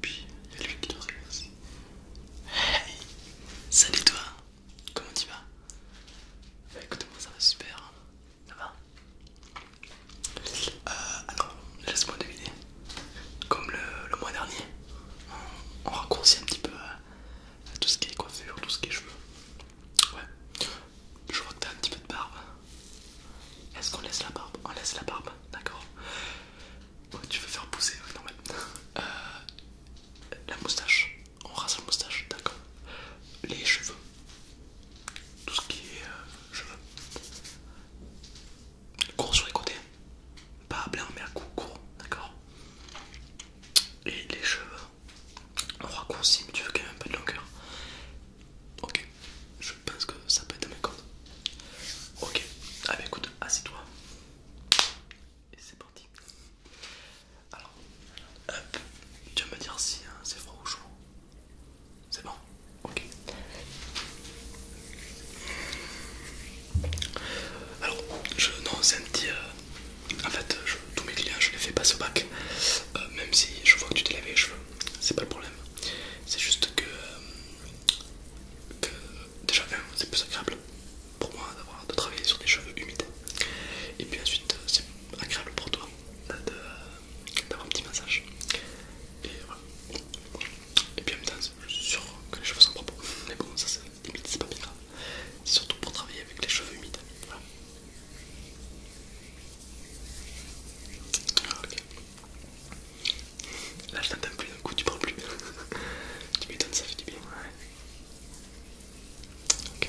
Puis il y a lui qui doit se aussi. Hey Salut toi Comment tu vas Bah écoute moi ça va super, hein. ça va euh, alors, laisse-moi deviner. Comme le, mois dernier, on, raccourcit un petit peu euh, tout ce qui est coiffure, tout ce qui est cheveux. Ouais. Je vois que t'as un petit peu de barbe. Est-ce qu'on laisse la barbe On laisse la barbe, d'accord. tu veux faire pousser, ouais, normal. Euh, la moustache, on rase la moustache, d'accord. Les cheveux, tout ce qui est cheveux court sur les côtés, pas à blanc mais à coup court, d'accord Et les cheveux, on mais tu veux quand même un peu de longueur. Ok, je pense que ça peut être dans mes codes. Ok, ah bah écoute, assieds-toi. Et c'est parti. Alors, hop, tu vas me dire si hein, c'est froid ou chaud. C'est bon Ok. Alors, je, non, c'est un petit... en fait, tous mes clients, je les fais passer au bac. Euh, même si je vois que tu t'es lavé les cheveux, c'est pas le problème. C'est juste que... Euh, déjà, c'est plus agréable pour moi d'avoir de travailler sur des cheveux humides. Et puis ensuite, euh, c'est agréable pour toi de, d'avoir un petit massage. Et voilà. Et puis en même temps, je suis sûr que les cheveux sont propres. Mais bon, ça c'est limite, c'est pas bien grave. C'est surtout pour travailler avec les cheveux humides. Voilà. Ah, ok. Là je t'entends plus d'un coup, tu parles plus. tu m'étonnes, ça fait du bien. Ouais. Ok.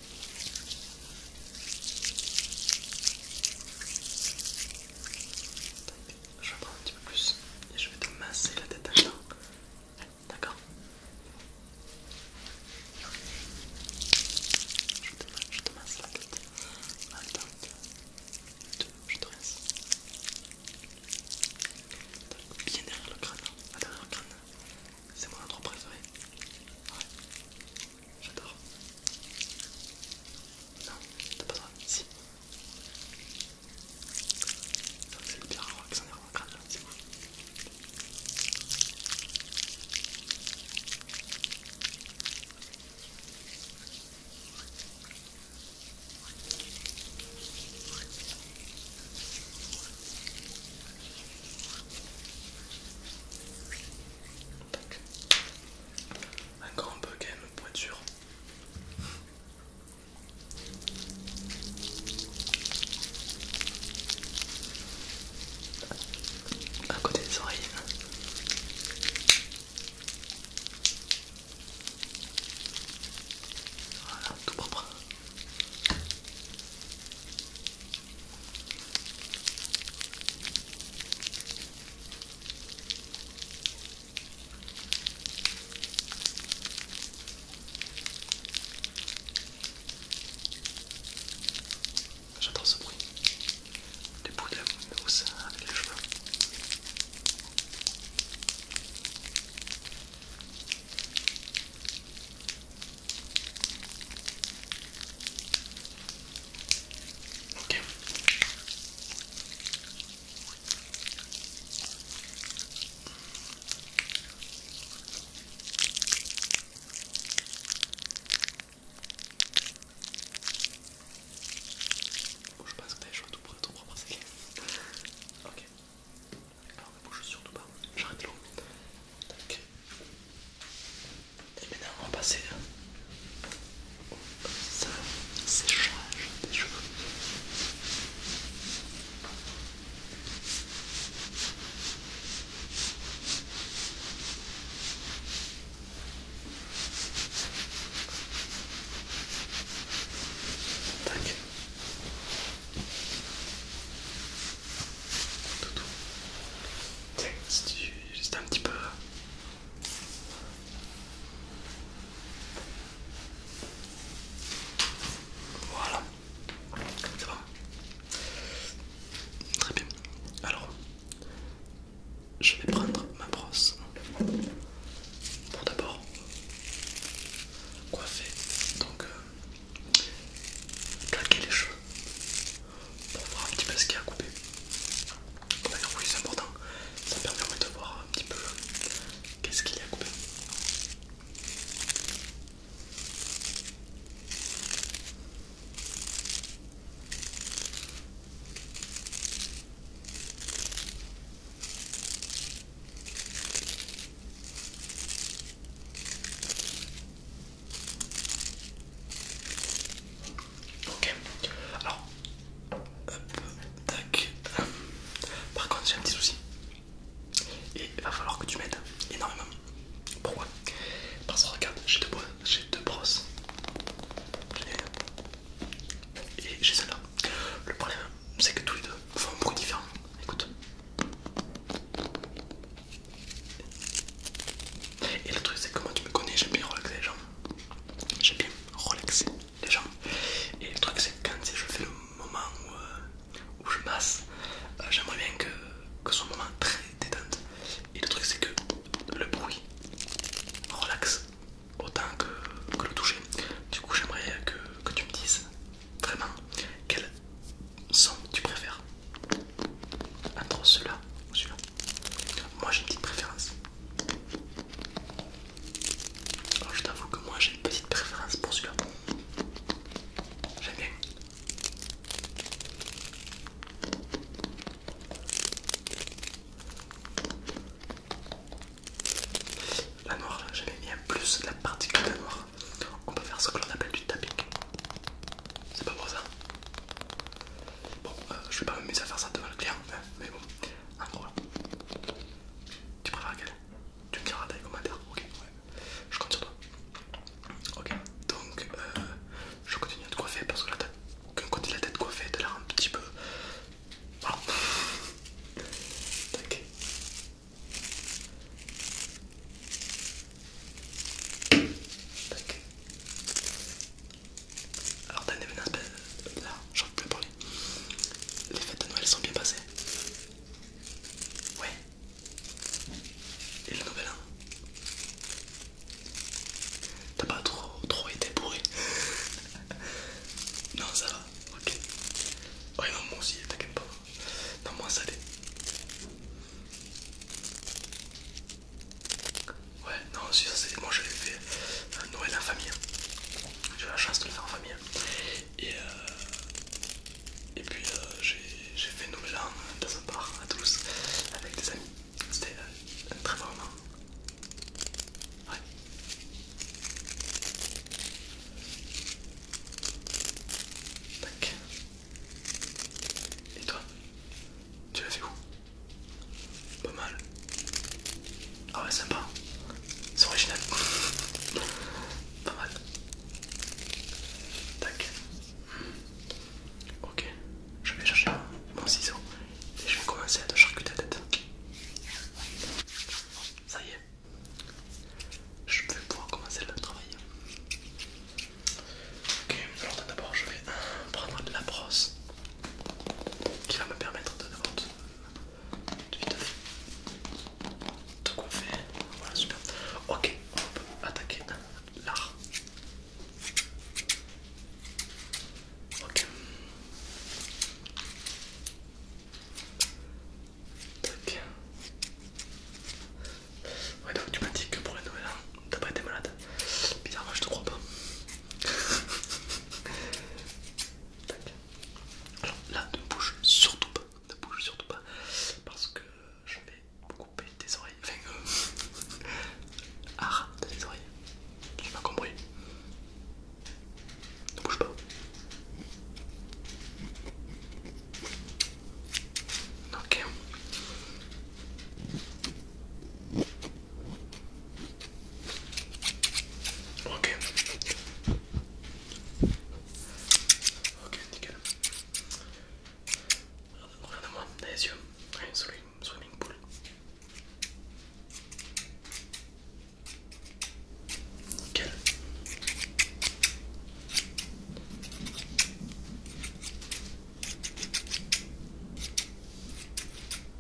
Je vais prendre un petit peu plus et je vais te masser la tête à D'accord je te, masse la tête. Attends, je te rince. Bien derrière le crâne. Hein. derrière le crâne. C'est mon endroit préféré. Ouais. J'adore. Non, t'as pas besoin. dire. C'est le pire qui s'en est rendu crâne là, c'est ouf. Encore un peu quand même pour être sûr. À côté des oreilles. Voilà, tout propre. J'adore ce bruit. Les bruits de la mousse avec les cheveux je passe que tout ton propre Alors ne bouge surtout pas, j'arrête l'eau. Tac. Et maintenant on va passer hein. au séchage des cheveux. Tac. Juste un petit peu... Voilà. ça va Très bien. Alors, je vais prendre ma brosse pour d'abord coiffer donc euh, calquer les cheveux pour voir un petit peu ce qu'il y a à couper. D'ailleurs, oui, c'est important, ça permet de voir un petit peu qu'est-ce qu'il y a à couper. Ok, alors, tac. Par contre, j'ai un petit souci. Et il va falloir que tu m'aides énormément. Pourquoi Parce que regarde, j'ai deux, j'ai deux brosses. Et j'ai celle-là. Le problème, c'est que tous les deux font un bruit différent. Écoute. Et le truc, c'est que moi, tu me connais, j'aime bien relaxer les jambes J'aime bien relaxer les jambes Et le truc, c'est que quand je fais le moment où, euh, je masse, euh, j'aimerais bien que, ce soit un moment très détente. Et le truc, c'est que le bruit relaxe autant que, le toucher. Du coup, j'aimerais que tu me dises Vraiment, Quel son tu préfères Entre celui là ou celui-là Moi j'ai une petite préférence. je t'avoue que moi j'ai une petite préférence pour celui-là. J'aime bien. La noire, j'avais mis en plus la particule de la noire. On peut faire ce que l'on appelle du tapping. C'est pas beau ça. Bon, euh, je vais pas m'amuser à faire ça devant le client, hein, mais bon, en gros, tu préfères quelle Tu me diras dans les commentaires, ok Je compte sur toi. Ok, donc euh, je continue à te coiffer parce que la tête, quand côté dit la tête coiffée, t'as l'air un petit peu alors t'as une menaces ben, Là, j'en peux plus parler. Les fêtes de Noël sont bien passées. Ouais. Et le nouvel an T'as pas trop, trop été bourré Non, ça va, ok. Ouais, non, moi aussi, t'inquiète pas. Non, moi ça l'est. Ouais, non, si ça c'est. Moi j'avais fait euh, Noël en famille. Hein. J'ai eu la chance de le faire en famille. Hein. Et, euh, Et puis euh, j'ai fait Noël dans un part à Toulouse avec des amis. C'était un très bon moment. Ouais. Tac. Et toi Tu l'as fait où Pas mal. Ah ouais, sympa. C'est original. Pas mal. Tac. Ok, je vais chercher mon ciseau et je vais commencer à te charcuter la tête. Ça y est, je vais pouvoir commencer le travail. Ok, alors d'abord je vais prendre la brosse qui va me permettre de de, de, coiffer. Voilà, super. Ok, on peut attaquer l'art. Ok. Tac. Ouais, donc tu m'as dit que pour la nouvelle an, hein, t'as pas été malade. Bizarrement, je te crois pas. Tac. Alors là, ne bouge surtout pas. Ne bouge surtout pas. Parce que je vais couper tes oreilles. Enfin, euh, arrête tes oreilles. Tu m'as compris. Ne bouge pas. Ok. Ok. Ok, nickel. Regarde-moi, c'est les yeux swimming pool. Nickel.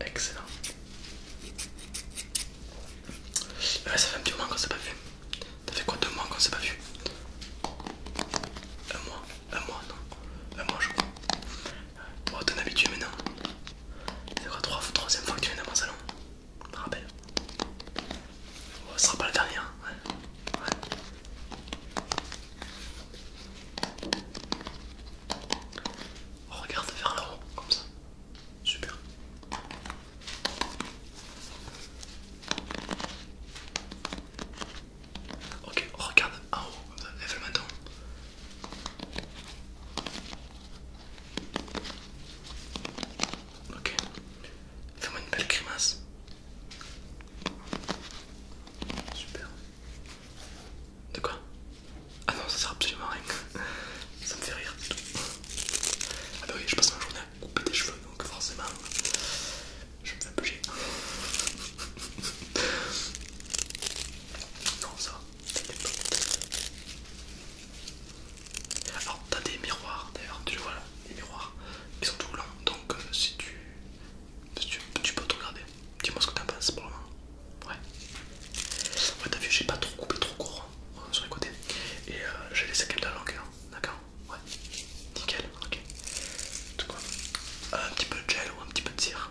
Excellent. Ah, ça fait un petit moment qu'on s'est pas vu. Ça fait quoi deux mois qu'on s'est pas vu Un mois Un mois non Un mois je crois. Oh t'en avis, maintenant. C'est quoi, trois, troisième fois que tu viens dans mon salon Je te rappelle. Oh, ce sera pas la dernière. Hein. Ouais. regarde vers le haut, comme ça. Super. Ok, regarde en haut, comme ça, lève le menton. Ok, fais-moi une belle grimace. Super. De quoi Ah non, ça sert absolument à rien. Ça me fait rire. Ah bah oui, je passe ma journée à couper des cheveux, donc forcément, je me fais un Non ça, Alors, t'as des miroirs d'ailleurs, tu les vois là, des miroirs qui sont tout longs, Donc, euh, si, tu, tu, peux te regarder, dis-moi ce que t'en penses pour le moment. Ouais, ouais, t'as vu, j'ai pas trop coupé trop court hein, sur les côtés et euh, j'ai laissé quelques même de la d'accord Ouais, nickel, ok. tout cas, un petit peu de gel ou un petit peu de cire.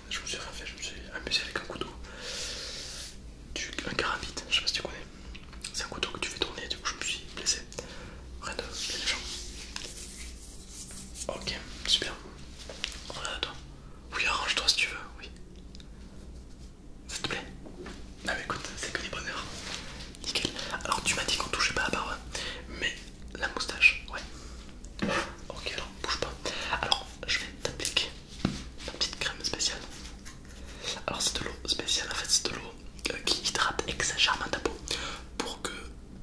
je me suis je me suis amusé avec un couteau. un vite, je sais pas si tu connais. C'est un couteau que tu fais tourner, du coup je me suis blessé. Rien de bien méchant. Ok, super. Regarde toi. Oui, arrange-toi si tu veux, oui. Ça te plaît Ah mais écoute, c'est que des bonheurs. Nickel. Alors tu m'as dit qu'on touchait pas la barbe, mais la moustache, ouais. Ok, alors bouge pas. Alors je vais t'appliquer ma petite crème spéciale. Alors c'est de l'eau spéciale, en fait c'est de l'eau euh, qui hydrate exagérément ta peau pour que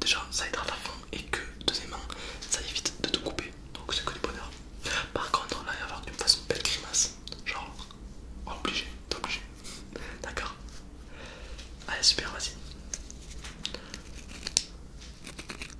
déjà ça hydrate à fond et que deuxièmement ça évite de te couper. Donc c'est que du bonheur. Par contre là il va avoir une façon belle grimace, genre obligé, obligé. D'accord Allez super, vas-y.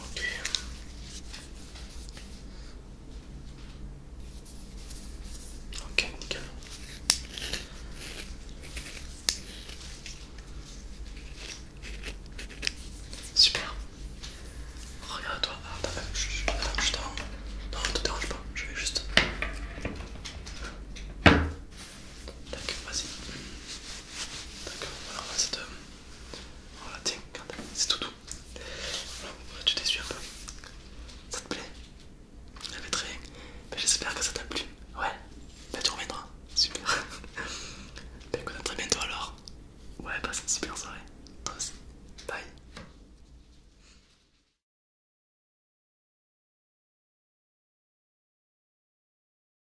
Ok. Ok, nickel. Super. Regarde-toi. Ah, Je, je, Non, ne te dérange pas. Je vais juste. Tac, vas-y. D'accord, alors là c'est voilà, tiens, c'est tout doux. Voilà, tu t'es un peu. Ça te plaît elle très mais J'espère que ça t'a plu. Ouais, ben, tu reviendras. Super. ben on à très bientôt alors. Ouais, passe une super soirée. Toi Bye.